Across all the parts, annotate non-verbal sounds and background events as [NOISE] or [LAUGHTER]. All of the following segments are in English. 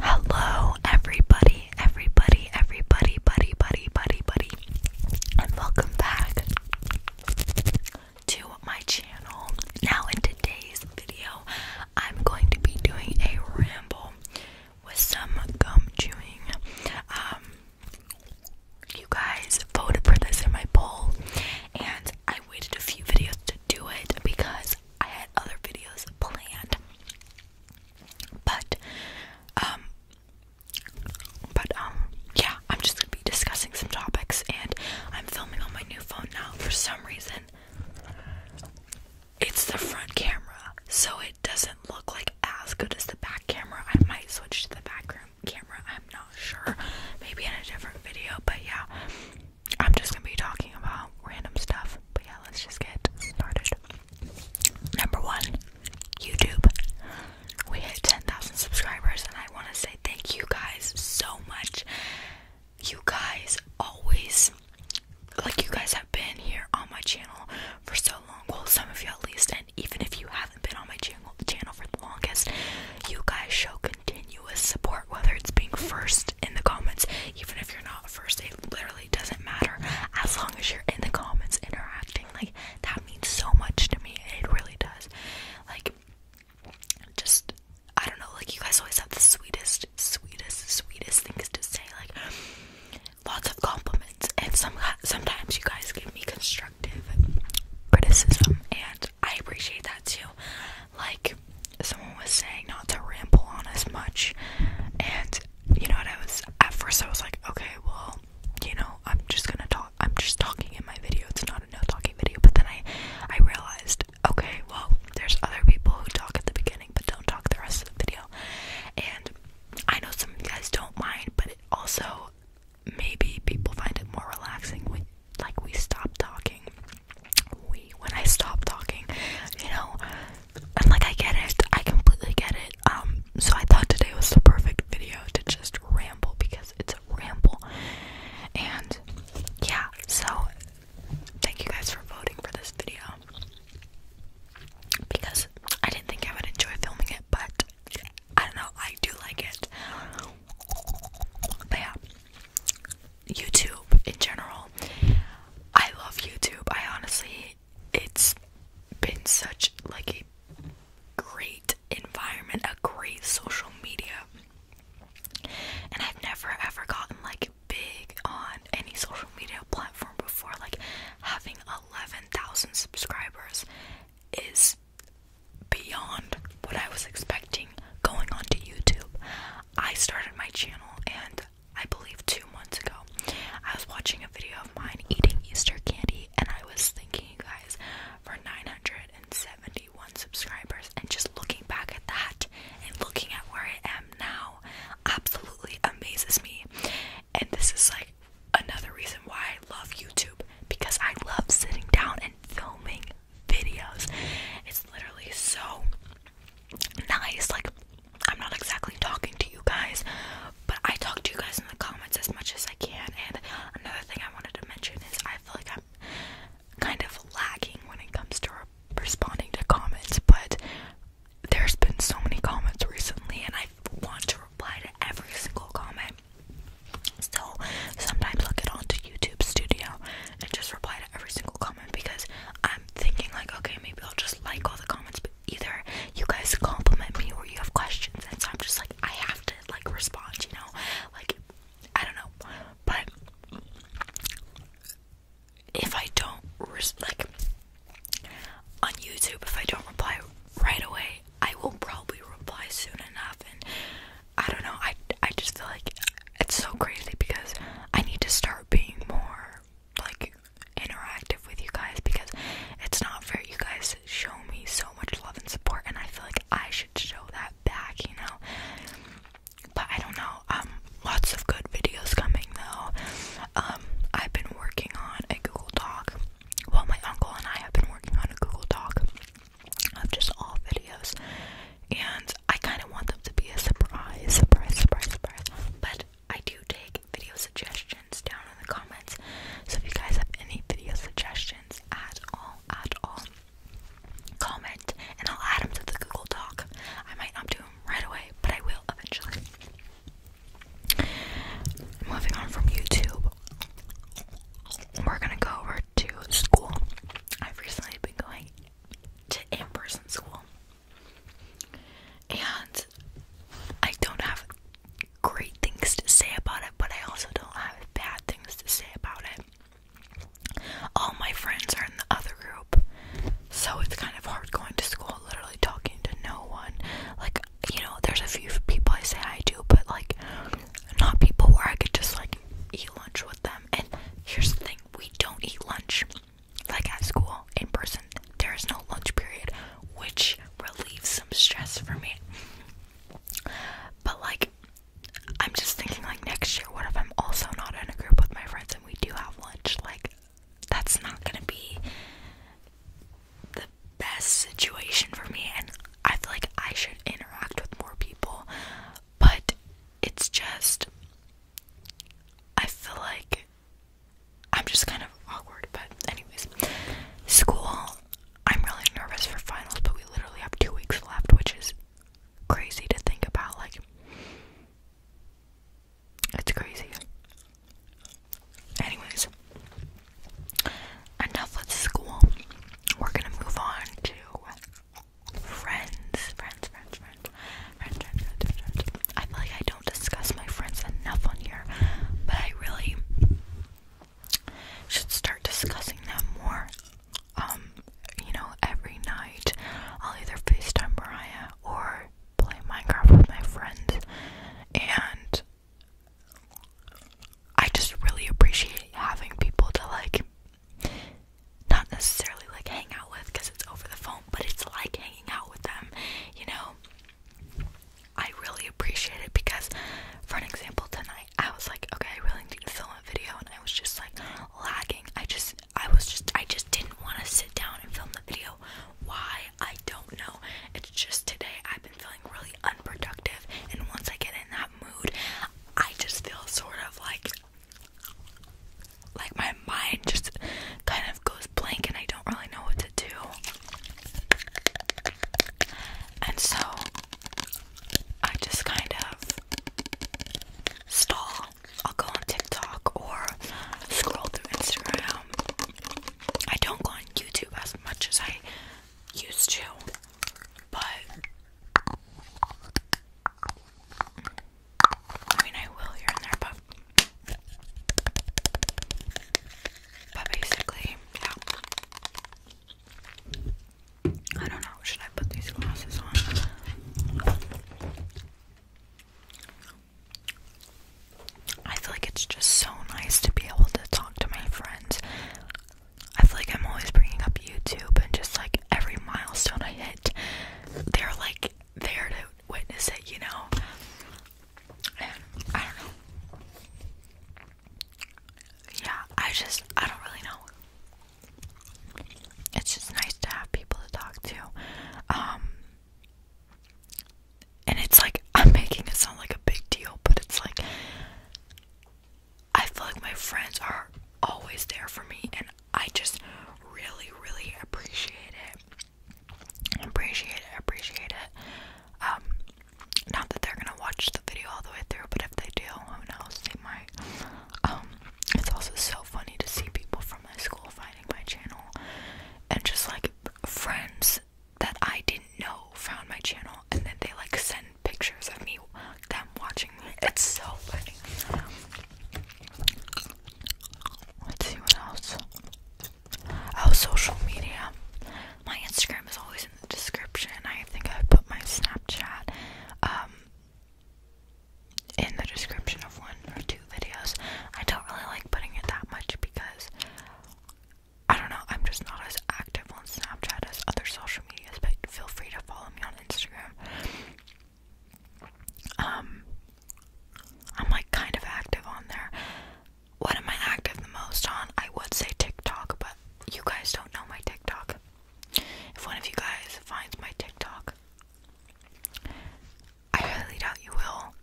Hello, everybody, everybody, everybody, buddy, buddy, buddy, buddy, and welcome back to my channel. Now, in today's video, I'm going to be doing a ramble with some gum chewing. Um, you guys voted for this in my poll, and I waited a few videos to do it because I had other videos planned. But um but um yeah, I'm just gonna be discussing some topics and I'm filming on my new phone now for some reason. It's the front camera, so it doesn't look like as good as the back camera. I might switch to the back room camera. I'm not sure. Maybe in a different video, but yeah. I'm just gonna be talking about random stuff, but yeah, let's just get started. Number one, YouTube. We hit 10,000 subscribers, and I want to say thank you guys so much. You guys always, like, you guys have been here on my channel for so long. Well, some of you at least, and even if you haven't been on my channel, the channel for the longest, you guys show continuous support, whether it's being first in the comments, even if you're not first, it literally doesn't matter as long as you're in the comments interacting. Like, that means so much to me, it really does. Like, just I don't know, like, you guys always have the sweetest, sweetest, sweetest things to say, like, lots of compliments, and some sometimes you guys give me constructive criticism, and I appreciate that too like someone was saying not to ramble on as much and you know what I was at first I was like okay well you know I'm just gonna talk I'm just talking in my video it's not a no talking video but then I I realized okay well there's other people who talk at the beginning but don't talk the rest of the video and I know some of you guys don't mind but it also maybe people find it more relaxing when like we stop talking we when I stop talking, you know. And like I get it, I completely get it. Um, so I thought today was the perfect video to just ramble because it's a ramble. And yeah, so thank you guys for voting for this video. Because I didn't think I would enjoy filming it, but I don't know, I do like it. But yeah. YouTube in general. I love YouTube. I honestly it's been such like a great environment, a great social media. And I've never ever gotten like big on any social media platform before. Like having 11,000 subscribers is beyond what I was expecting going on to YouTube. I started my channel and I believe two months ago, I was watching a video of mine eating Easter candy, and I was thinking, you guys for 971 subscribers. And just looking back at that and looking at where I am now absolutely amazes me. And this is like another reason why I love YouTube because I love sitting down and filming videos. It's literally so nice. Like, I'm not exactly talking to you guys, but I talk to you guys in the comments as much as I can. And another thing I wanted to mention is I feel like I'm kind of lagging when it comes to responding to comments, but there's been so many comments recently, and I want to reply to every single comment. So sometimes I'll get onto YouTube Studio and just reply to every single comment because I'm thinking like okay maybe I'll just like all the comments but either you guys compliment me or you have questions and so I'm just like I have to like respond you know like I don't know but if I don't like on YouTube if I don't reply right away I will probably reply soon enough and I don't know I I just feel like it's so crazy because I need to start being more like interactive with you guys because it's not fair. You guys show me so much love and support, and I feel like I should show that back, you know. But I don't know. Um, lots of good videos coming though. Um, I've been working on a Google Doc. Well, my uncle and I have been working on a Google Doc of just all videos and I kind of want them to be a surprise, surprise, surprise, surprise. But I do take video suggestions down in the comments, so if you guys have any video suggestions at all, at all, comment and I'll add them to the Google Doc. I might not do them right away, but I will eventually. Moving on from YouTube, we're gonna go over to school. I've recently been going to in-person school and I don't have great things to say about it but I also don't have bad things to say about it all my friends are in the other group so it's kind of hard going to school literally talking to no one like you know there's a few people I say I do but like not people where I could just like eat lunch with them and here's the thing we don't eat lunch like at school in person there is no lunch period which relieves some stress for me but like i'm just thinking like next year what if i'm also not in a group with my friends and we do have lunch like that's not gonna be the best situation for me and i feel like i should interact with more people but it's just I feel like I'm just kind of awkward, but anyways, school. I'm really nervous for finals, but we literally have two weeks left, which is crazy to think about. Like, it's crazy. Anyways, enough with school. We're gonna move on to friends, friends, friends, friends, friends, friends, friends, I feel like I don't discuss my friends enough on here, but I really should start discussing them more. Um, you know, every night I'll either FaceTime Mariah or play Minecraft with my friends, and I just really appreciate having people to like not necessarily like hang out with because it's over the phone, but it's like hanging out with them, you know. I really appreciate it because, for an example, tonight I was like, okay, I really need to film a video, and I was just like lagging. I just, I was just, I just didn't want to sit down and film the video. Why? I don't know. It's just today I've been feeling really unproductive, and once I get in that mood, I just feel sort of like like my mind just kind of goes blank and I don't really know what to do. And so I just kind of stall. I'll go on TikTok or scroll through Instagram. I don't go on YouTube as much as I used to, but I mean, I will here and there, but but basically, yeah. I don't know. Should I put these glasses on? I feel like it's just so nice to be able to talk to my friends. I feel like I'm always bringing up YouTube and just like every milestone I hit, they're like there to witness it, you know? And I don't know. Yeah, I just, I don't really know. It's just nice to have people to talk to. Um, and it's like, [LAUGHS] I'm making it sound like a big deal, but it's like, I feel like my friends are always there for me, and I just really, really appreciate it. Appreciate it, appreciate it. Um, not that they're gonna watch the video all the way through, but if they do, who knows, they might. Um, it's also so funny to see people from my school finding my channel and just like friends that I didn't know found my channel and then they like send pictures of me them watching it's so funny. Let's see what else. Oh, social media. My Instagram is always in the description. I think I put my Snapchat um, in the description of one or two videos. I don't really like putting it that much because I don't know, I'm just not as active on Snapchat as other social medias, but feel free to follow me on Instagram. Um, I'm like kind of active on there. What am I active the most on? I would say TikTok, but you guys don't know my TikTok. If one of you guys finds my TikTok, I really doubt you will.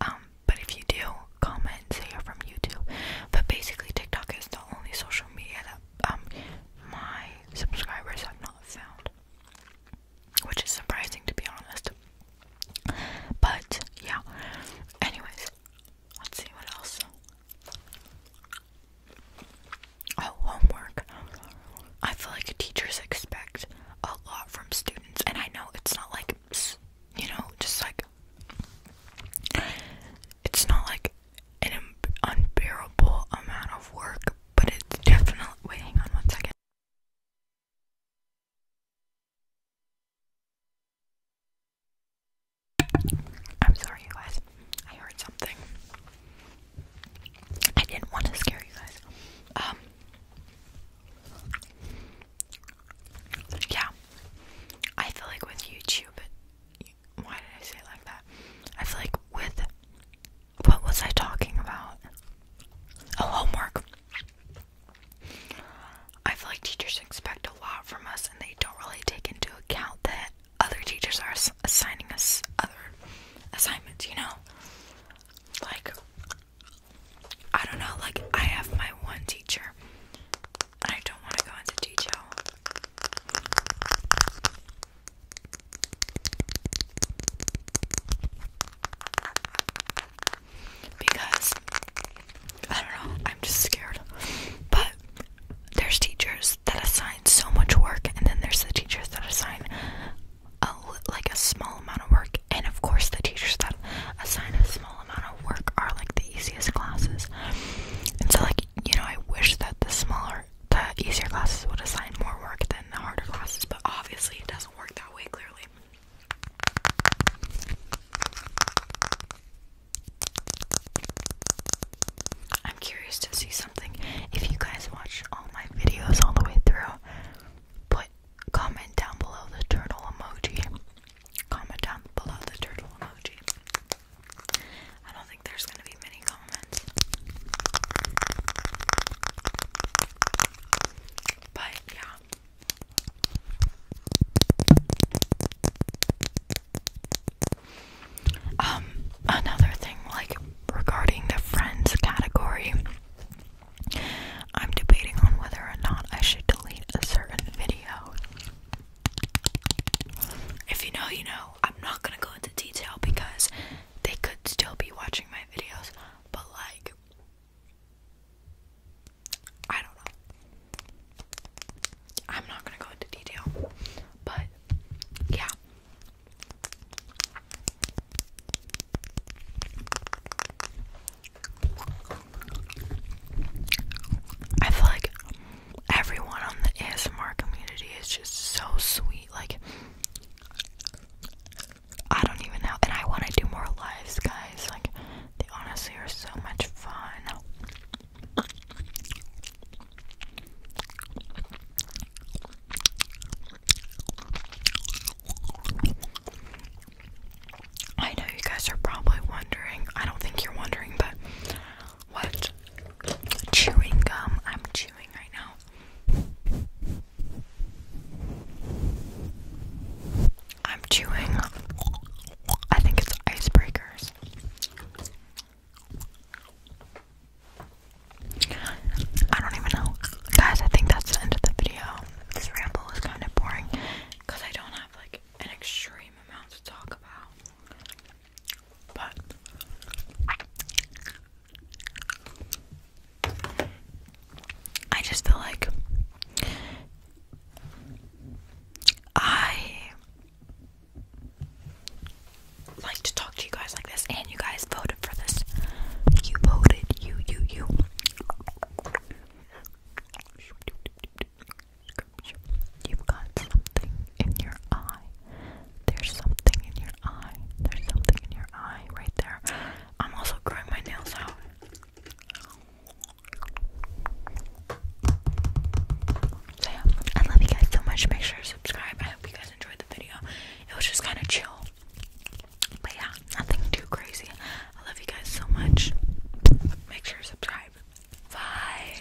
Um, but if you do, comment say you're from YouTube. But basically, TikTok is the only social media that um my subscribers have found, which is surprising to be honest. But yeah, anyways, let's see what else. Oh, homework. I feel like teachers expect a lot from students, and I know it's not like, you know, just like, it's not like an unbearable amount of work, but it's definitely. Wait, hang on one second. I'm sorry, guys. I heard something. I didn't want to scare you guys. Um. Yeah. I feel like with YouTube, why did I say like that? I feel like with what was I talking about? Oh, homework. I feel like teachers expect a lot from us and they don't really take into account that other teachers are assigning us other assignments, you know? Like, I don't know, like, I have my one teacher, and I don't want to go into detail because I don't know, I'm just scared. But there's teachers that assign so much work, and then there's the teachers that assign like a small amount of work. And of course, the teachers that assign a small amount of work are like the easiest classes. And so, like you know, I wish that the smaller the easier classes would assign more work than the harder classes, but obviously it doesn't work that way clearly. I'm curious to see something. If you guys watch all my videos all the way through, put comment down below the turtle emoji. Comment down below the turtle emoji. I don't think there's gonna be many comments. But Um, another thing, like regarding the friends category, I'm debating on whether or not I should delete a certain video. If you know, you know. I'm not gonna go into detail because they could still be watching my videos, but like, I don't know. I'm not gonna go into detail, but yeah. I feel like everyone on the ASMR community is just so sweet. Like, I don't even know. And I want to do more lives, guys. Like, they honestly are so much fun. I know you guys are probably wondering. I don't think you're wondering, but what? Chewing gum. I'm chewing right now. I'm chewing. I think it's icebreakers. I don't even know. Guys, I think that's the end of the video. This ramble is kind of boring because I don't have like an extreme amount to talk about. But I just feel like I like to talk to you guys like this, and you guys voted for this. You voted, you, you, you. You've got something in your eye. There's something in your eye. There's something in your eye right there. I'm also growing my nails out. So yeah, I love you guys so much. Make sure to subscribe. I hope you guys enjoyed the video. It was just kind of chill. But yeah, nothing too crazy. I love you guys so much. Make sure to subscribe. Bye.